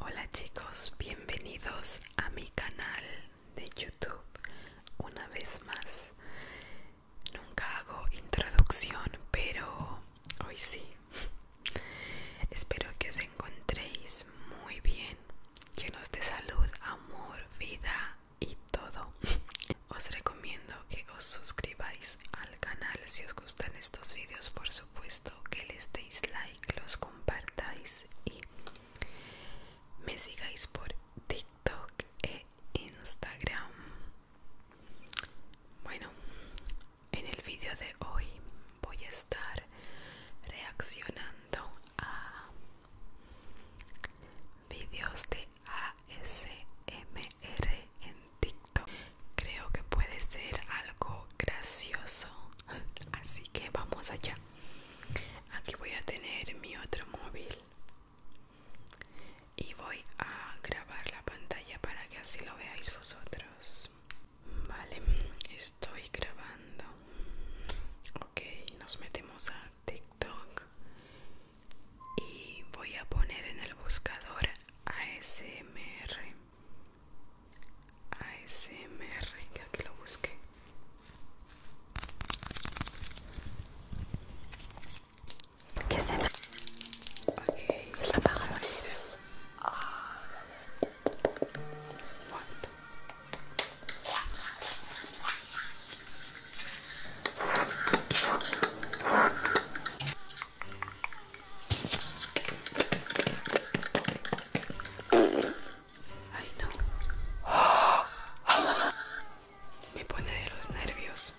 Hola chicos, bienvenidos a mi canal de YouTube una vez más. Nunca hago introducción, pero hoy sí. Espero que os encontréis muy bien, llenos de salud, amor, vida y todo. Os recomiendo que os suscribáis al canal si os gustan estos vídeos, por supuesto, que les deis like, los compartáis y me sigáis por TikTok e Instagram. Bueno, en el vídeo de hoy voy a estar reaccionando a vídeos de ASMR en TikTok. Creo que puede ser algo gracioso así que vamos allá aquí voy a tener mi otro móvil y voy a grabar la pantalla para que así lo veáis vosotros vale estoy grabando ok nos metemos a tiktok y voy a poner en el buscador asmr ASMR, que lo busque Que se me... apaga Ay no. Me pone de los nervios.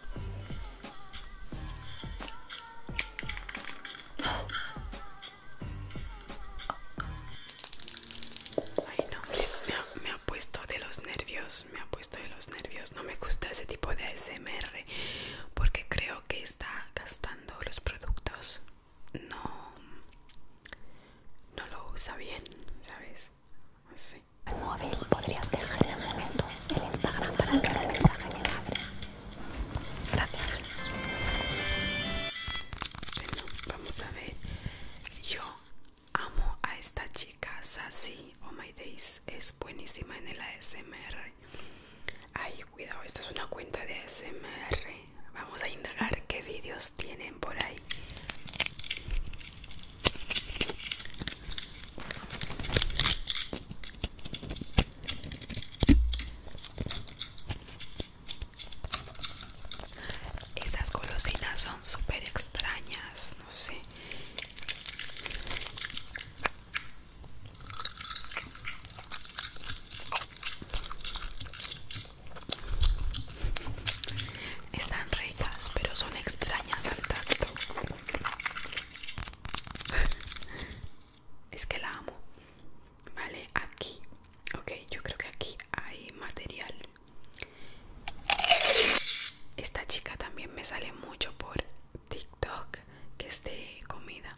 Ay no, me ha, puesto de los nervios, me ha puesto de los nervios. No me gusta ese tipo de ASMR porque creo que está gastando los productos no, no lo usa bien, ¿sabes? Sí. El móvil podrías dejar en el momento el Instagram para que el mensaje se Gracias. Bueno, vamos a ver. Yo amo a esta chica, Sassy. Oh my days, es buenísima en el ASMR. Ay, cuidado, esta es una cuenta de SMR. Vamos a indagar qué vídeos tienen por ahí. Esas golosinas son súper extrañas, no sé. Están ricas, pero son extrañas al tacto. es que la amo. Vale, aquí. Ok, yo creo que aquí hay material. Esta chica también me sale mucho por TikTok, que es de comida.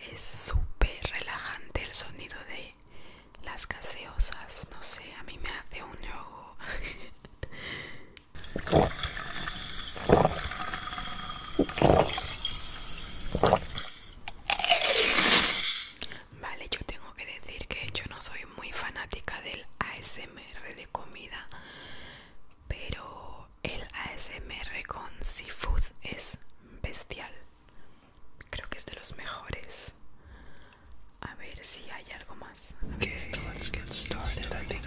Es súper relajante el sonido de las gaseosas, no sé, a mí me hace un yogo. Vale, yo tengo que decir que yo no soy muy fanática del ASMR de comida, pero el ASMR con seafood es bestial. Creo que es de los mejores. A ver si hay algo más. okay, let's get started. I think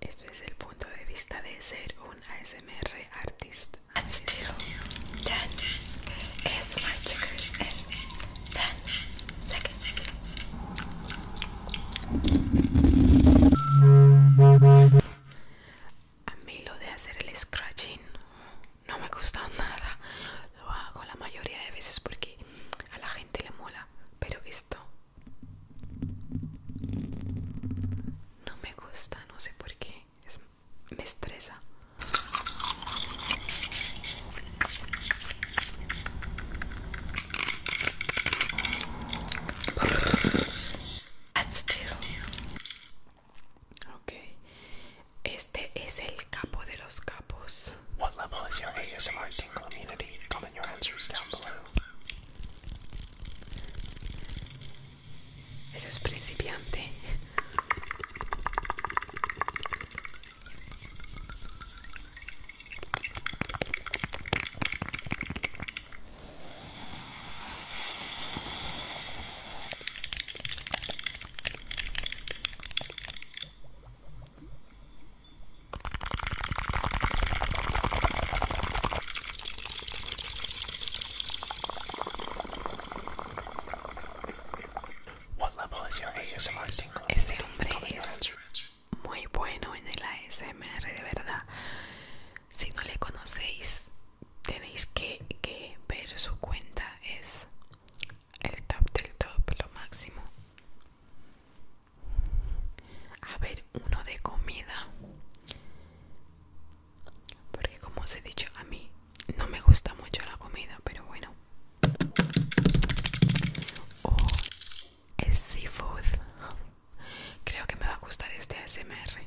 este es el punto de vista de ser un ASMR artista. A mí lo de hacer el scratching no me gusta nada. Lo hago la mayoría de veces porque a la gente le mola, pero esto no me gusta, no sé por qué. me estresa. este es el capo de los capos. What level is your ASMR tingle immunity? Comment your answers down below. Eres principiante. Ese hombre es muy bueno en el ASMR, de verdad. Si no le conocéis, tenéis que ver su cuenta. Es el top del top, lo máximo a ver uno de comida porque como os he dicho a mí no me gusta mucho la comida pero bueno oh, seafood creo que me va a gustar este ASMR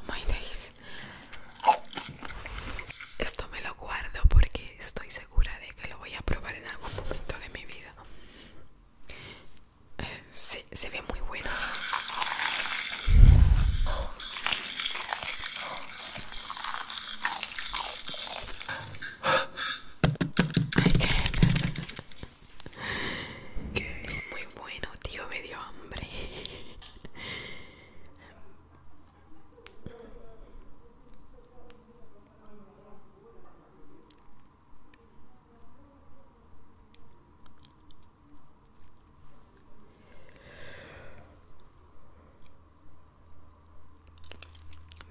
Oh my days. Esto me lo guardo porque estoy segura de que lo voy a probar en algún momento de mi vida. Eh, se, ve muy bueno que es muy bueno, tío, me dio hambre.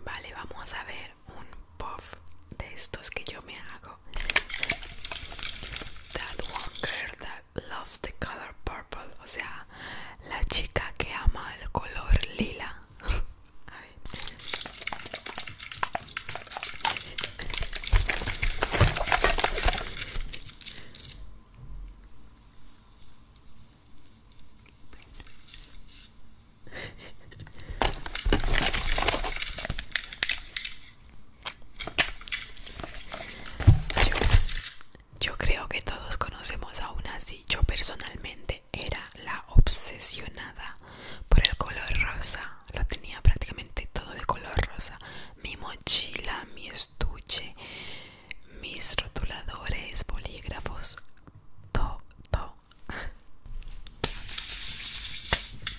Vale, vamos a ver un puff de estos que yo me hago. That one girl that loves the color purple. O sea, la chica que ama el color lila. Yo, creo que todos conocemos aún así. Yo personalmente era la obsesionada por el color rosa. Lo tenía prácticamente todo de color rosa. Mi mochila, mi estuche, mis rotuladores, bolígrafos, todo.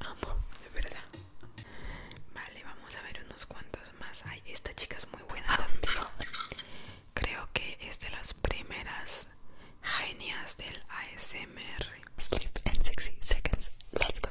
Amo, de verdad. Vale, vamos a ver unos cuantos más. Ay, esta chica es muy buena también. Creo que es de las primeras genias del ASMR. Sleep in 60 seconds. Let's go.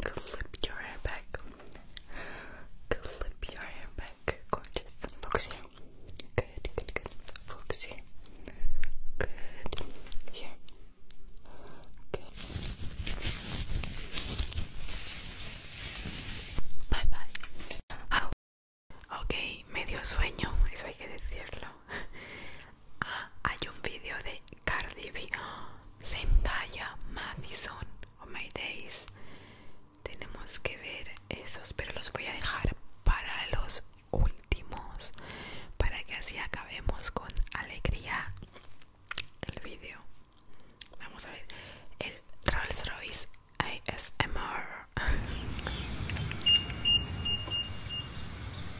Clip your hair back. Clip your hair back. Gorgeous. Focus here. Good, good, good. Good. Here. Good. Bye bye. Ok, medio sueño, eso hay que decirlo. hay un vídeo de Cardi B, Zendaya, Madison, Oh My Days. Tenemos que ver esos, pero los voy a dejar para los últimos, para que así acabemos con alegría el vídeo Vamos a ver el Rolls Royce ASMR.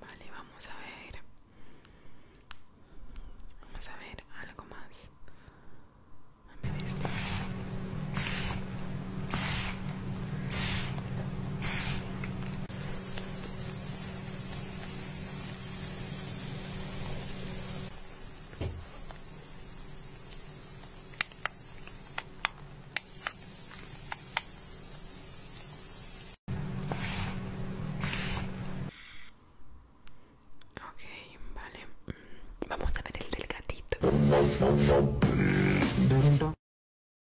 Vale, vamos a ver. Vamos a ver algo más. A ver Okay, vale. Mm, vamos a ver el del gatito.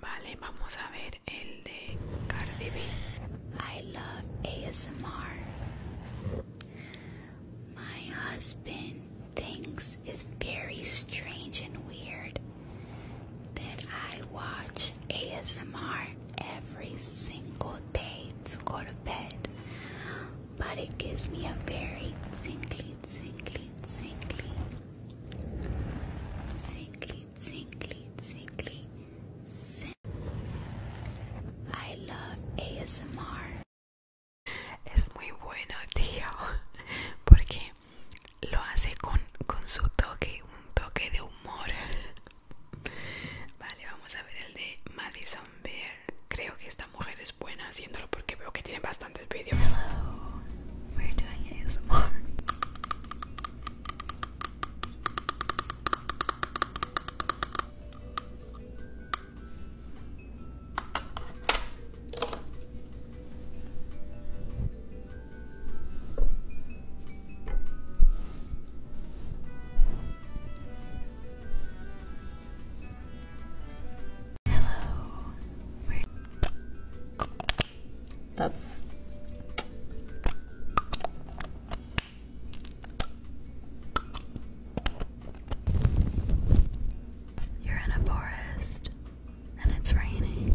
Vale, vamos a ver el de Cardi B. I love ASMR. My husband thinks it's very strange and weird that I watch ASMR every single day to go to bed, but it gives me a very tingly, tingly, tingly, tingly, tingly, tingly scent. I love ASMR. Es muy bueno, tío, porque lo hace con, con su toque, un toque de humor. Vale, vamos a ver el de Madison Bear. Creo que esta mujer es buena haciéndolo porque veo que tiene bastantes vídeos. Hello. That's You're in a forest and it's raining.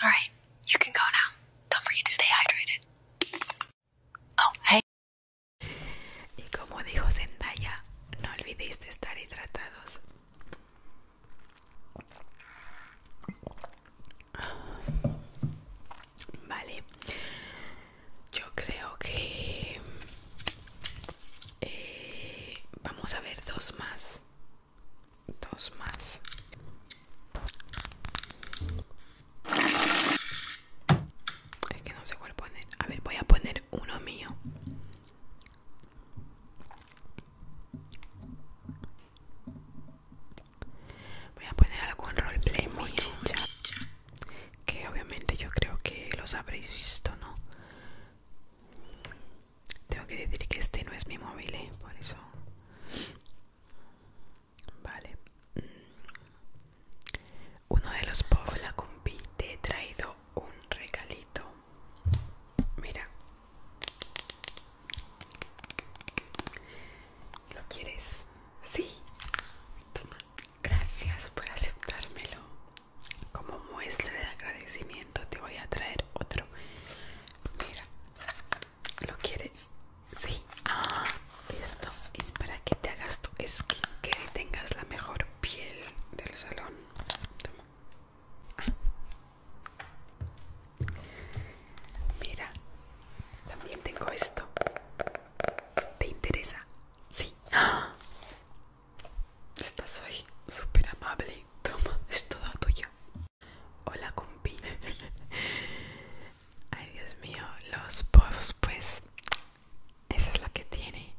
Bien, you can go now. Don't forget to stay hydrated. Oh, hey. Y como dijo Zendaya, no olvidéis de estar hidratados. Vale, yo creo que eh, vamos a ver dos más dos más es que no sé cuál poner a ver voy a poner uno mío voy a poner algún roleplay muy que obviamente yo creo que los habréis visto no tengo que decir que este no es mi móvil, eh, por eso. Vale. Mm. Uno de los povos, la compi, te he traído un regalito. Mira. ¿Lo quieres? Sí. Toma. Gracias por aceptármelo. Como muestra de agradecimiento te voy a traer otro Mira, ¿lo quieres? Sí. Ah, esto es para que te hagas tu esquina, que tengas la mejor piel del salón. Toma. Ah. Mira, también tengo esto. ¿Te interesa? Sí. ¡Ah! Estás hoy súper amable. Toma, es toda tuya. Hola compi. Ay Dios mío, los puffs pues esa es la que tiene.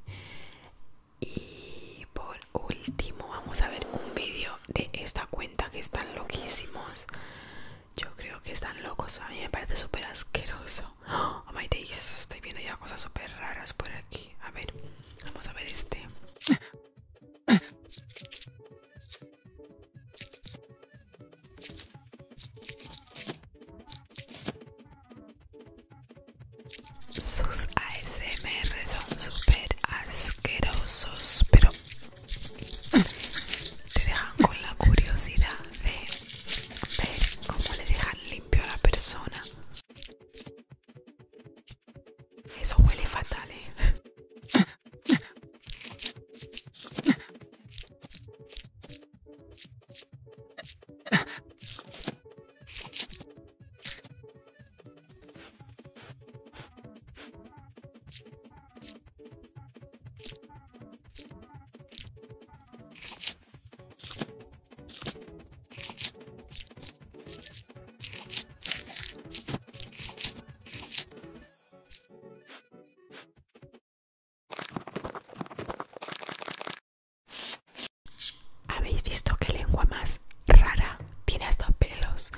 Y por último vamos a ver un vídeo de esta cuenta que están loquísimos. Yo creo que están locos. A mí me parece súper asqueroso. Oh my days. Estoy viendo ya cosas súper raras por aquí. A ver, vamos a ver este. Sus ASMR son super asquerosos, pero te dejan con la curiosidad de ver cómo le dejan limpio a la persona. Eso huele fatal, eh. ¿Habéis visto qué lengua más rara? Tiene estos pelos.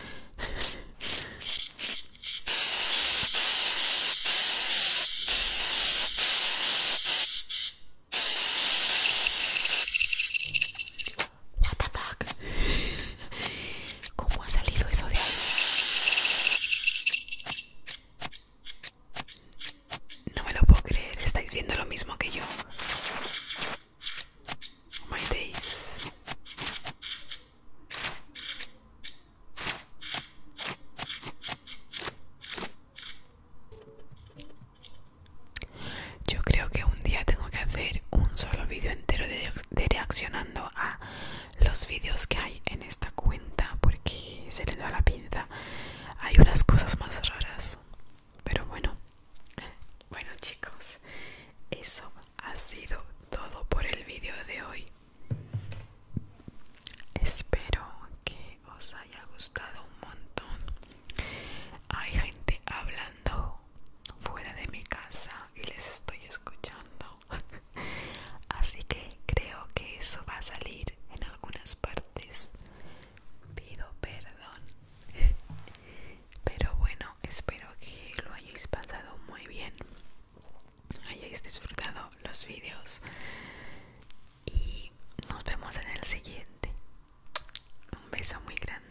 What the fuck? ¿Cómo ha salido eso de ahí? No me lo puedo creer, estáis viendo lo mismo que yo. Oh my days. Yo creo que un día tengo que hacer un solo vídeo entero de de reaccionando a los vídeos que hay en esta cuenta porque se le da la pinta hay unas cosas más raras pero bueno bueno chicos eso ha sido todo por el vídeo de hoy espero que os haya gustado un montón hay gente hablando fuera de mi casa y les estoy escuchando. Así que creo que eso va a salir en algunas partes. Pido perdón. Pero bueno, espero que lo hayáis pasado muy bien. Hayáis disfrutado los vídeos. Y nos vemos en el siguiente. Un beso muy grande.